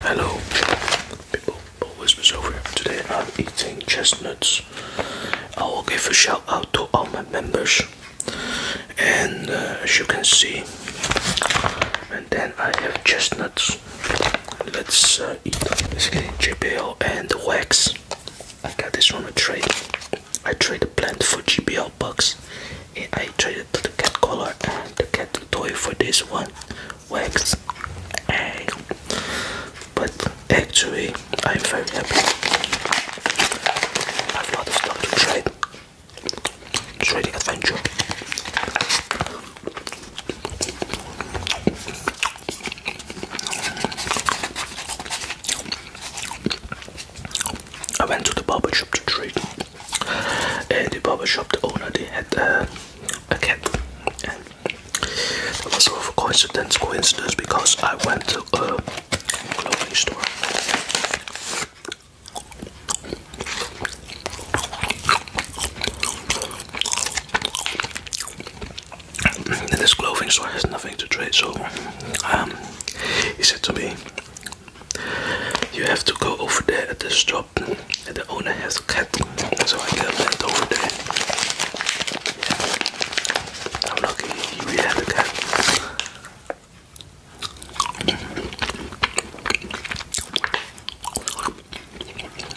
Hello, people. Always Whispers over here. Today I'm eating chestnuts. I will give a shout out to all my members. And uh, as you can see, and then I have chestnuts. Let's uh, eat basically GBL and wax. I got this from a trade. I traded plant for GBL box, And I traded the cat collar and the cat toy for this one wax but actually I'm very happy I have stuff to trade trading adventure I went to the barber shop to trade and uh, the barber shop the owner they had uh, a cat that was all of a coincidence coincidence because I went to a clothing store and this clothing store has nothing to trade so um, he said to me you have to go over there at the store and the owner has a cat so I got that over there. I'm lucky he really had a cat.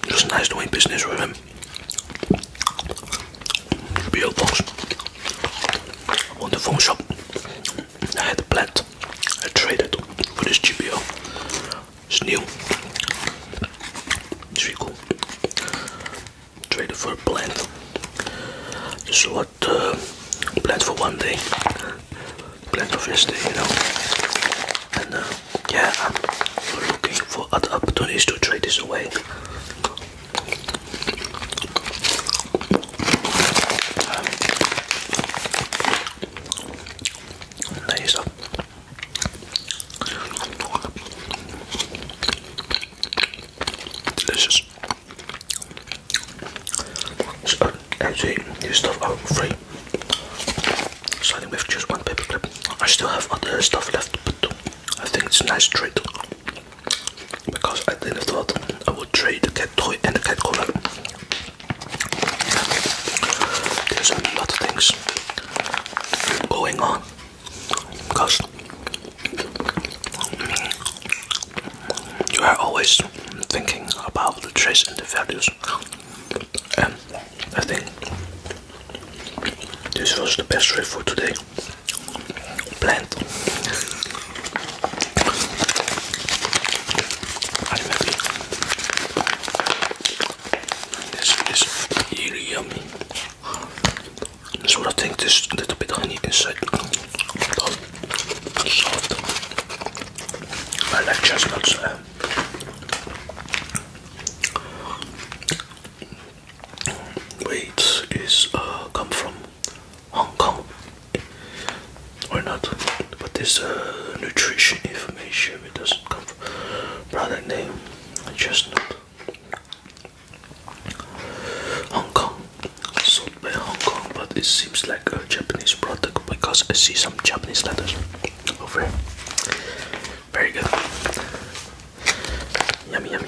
It nice doing business with him. Beautiful box. On the phone shop. I had a plant. I traded for this GPO. It's new. It's really cool. Traded for a plant. Just what uh, plant for one day, plant for yesterday, you know. And uh, yeah, I'm looking for other opportunities to trade this away. Nice. Delicious. So, uh, actually, this stuff out free. Starting with just one paper clip. I still have other stuff left, to put. I think it's a nice trade. Because I didn't thought I would trade the cat toy and the cat collar. There's a lot of things going on because you are always thinking about the traits and the values, and I think this was the best way for today. Plant. I'm happy. This is really yummy. So I think there's a little bit of honey inside. Soft. I like chestnuts. Uh, is uh, come from Hong Kong or not, but this uh, nutrition information chip it doesn't come from product name chestnut Hong Kong sold by Hong Kong but it seems like a Japanese product because I see some Japanese letters over here very good yummy yummy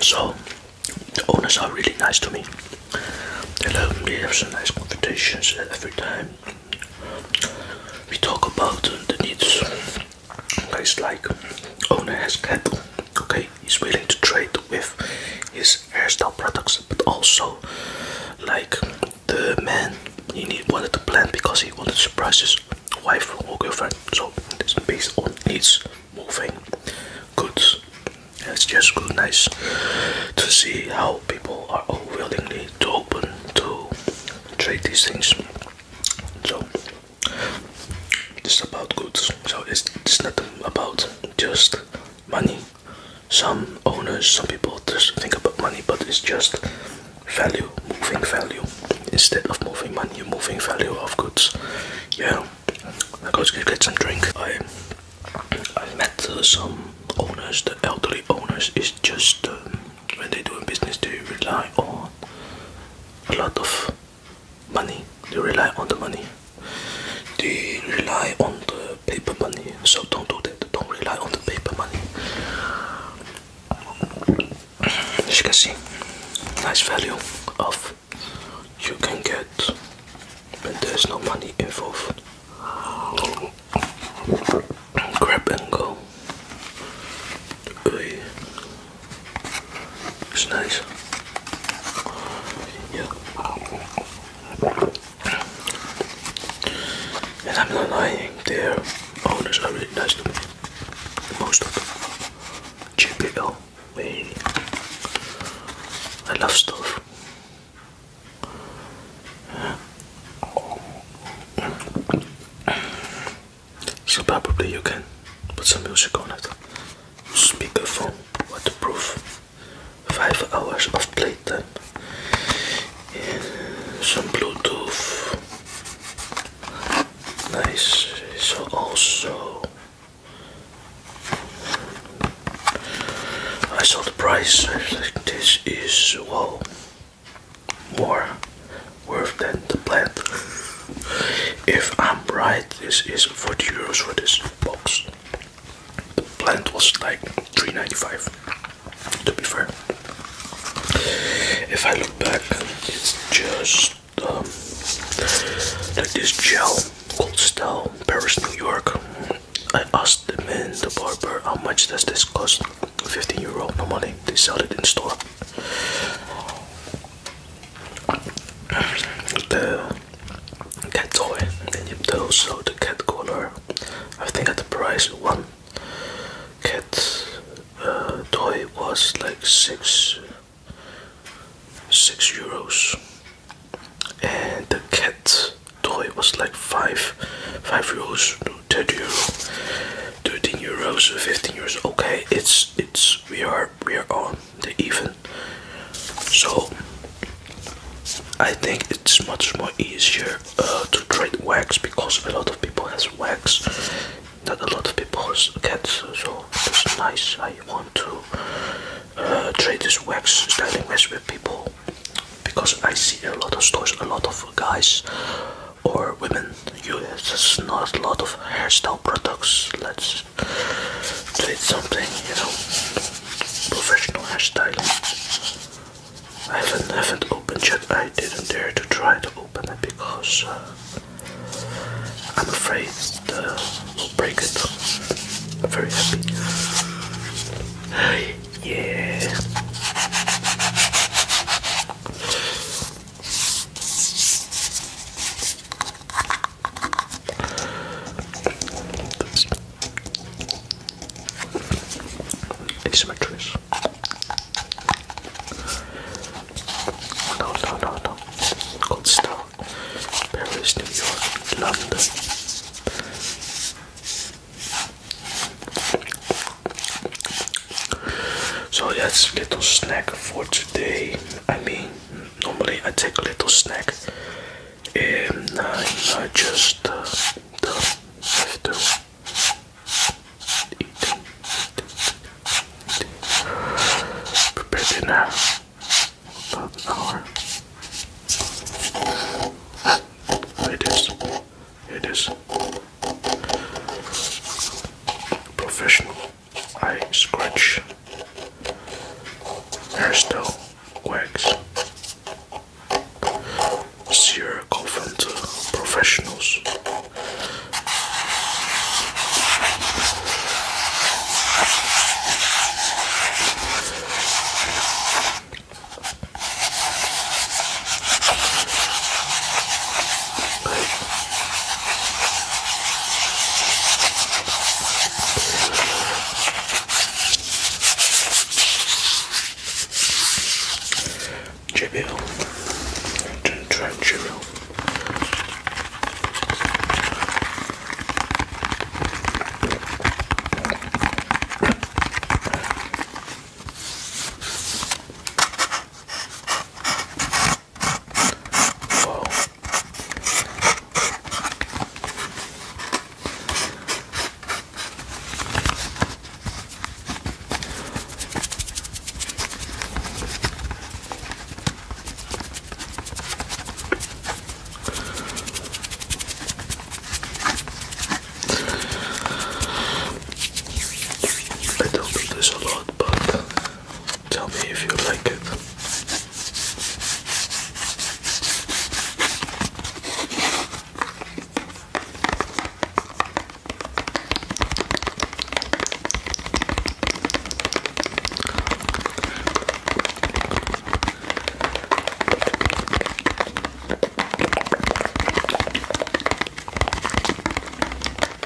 So, the owners are really nice to me. They love have some nice conversations every time. We talk about the needs Guys like owner has cattle. Okay, he's willing to trade with his hairstyle products, but also like the man he wanted to plan because he wanted to surprise his wife or girlfriend. So it's based on needs moving goods. it's just good, nice to see how people are willing to open to trade these things. So it's about goods, so it's, not about just money. Some owners, some people just think about money, but it's just value, moving value. Instead of moving money, moving value of goods. Yeah, I go to get some drink. I, I met uh, some owners, the elderly owners, It's just um, when they do a business, they rely on a lot of money. They rely on the money. They rely on the paper money. So don't do that. Don't rely on the paper money. As you can see, nice value of you can get but there's no money involved. Grab and go. It's nice. Yeah. And I'm not lying, their owners are really nice to me. Most of them. JPL. Wait. I love stuff. So probably you can put some music on it. Speakerphone, waterproof, five hours of playtime, some Bluetooth. Nice. So also, I saw the price. this is wow, more worth than the plant. if I'm right, this is 40 euros for this box. The plant was like 3.95 to be fair. If I look back, it's just um, like this gel called Style Paris, New York. I asked the man, the barber, how much does this cost? 15 euro, no money. They sell it in store the cat toy and then you also the cat collar I think at the price one cat uh, toy was like six six euros and the cat toy was like five five euros 30 euro 13 euros 15 euros okay it's it's we are we are on the even. So I think it's much more easier uh, to trade wax because a lot of people has wax, not a lot of people has So it's nice. I want to uh, trade this wax styling wax with people because I see a lot of stores, a lot of guys or women use not a lot of hairstyle products. Let's do it something, you know, professional hairstyle. I haven't, have opened yet. I didn't dare to try to open it because uh, I'm afraid it will break it. I'm very happy. Yeah. It's my dress. No, no, no, no. Gold Paris, New York, London. So that's little snack for today. I mean, normally I take a little snack and I just uh, don't have to eat, eat, eat, eat. prepare dinner about an hour. It is. It is professional. I scratch. There's no quacks. Sierra conference uh, professionals. Jibill. Try Jibill. I don't do this a lot, but Tell me if you like it.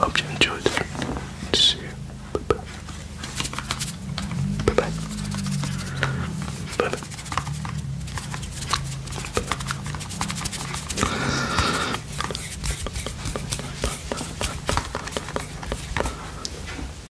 Hope you enjoyed it. See you. Bye bye. Bye bye. Bye bye.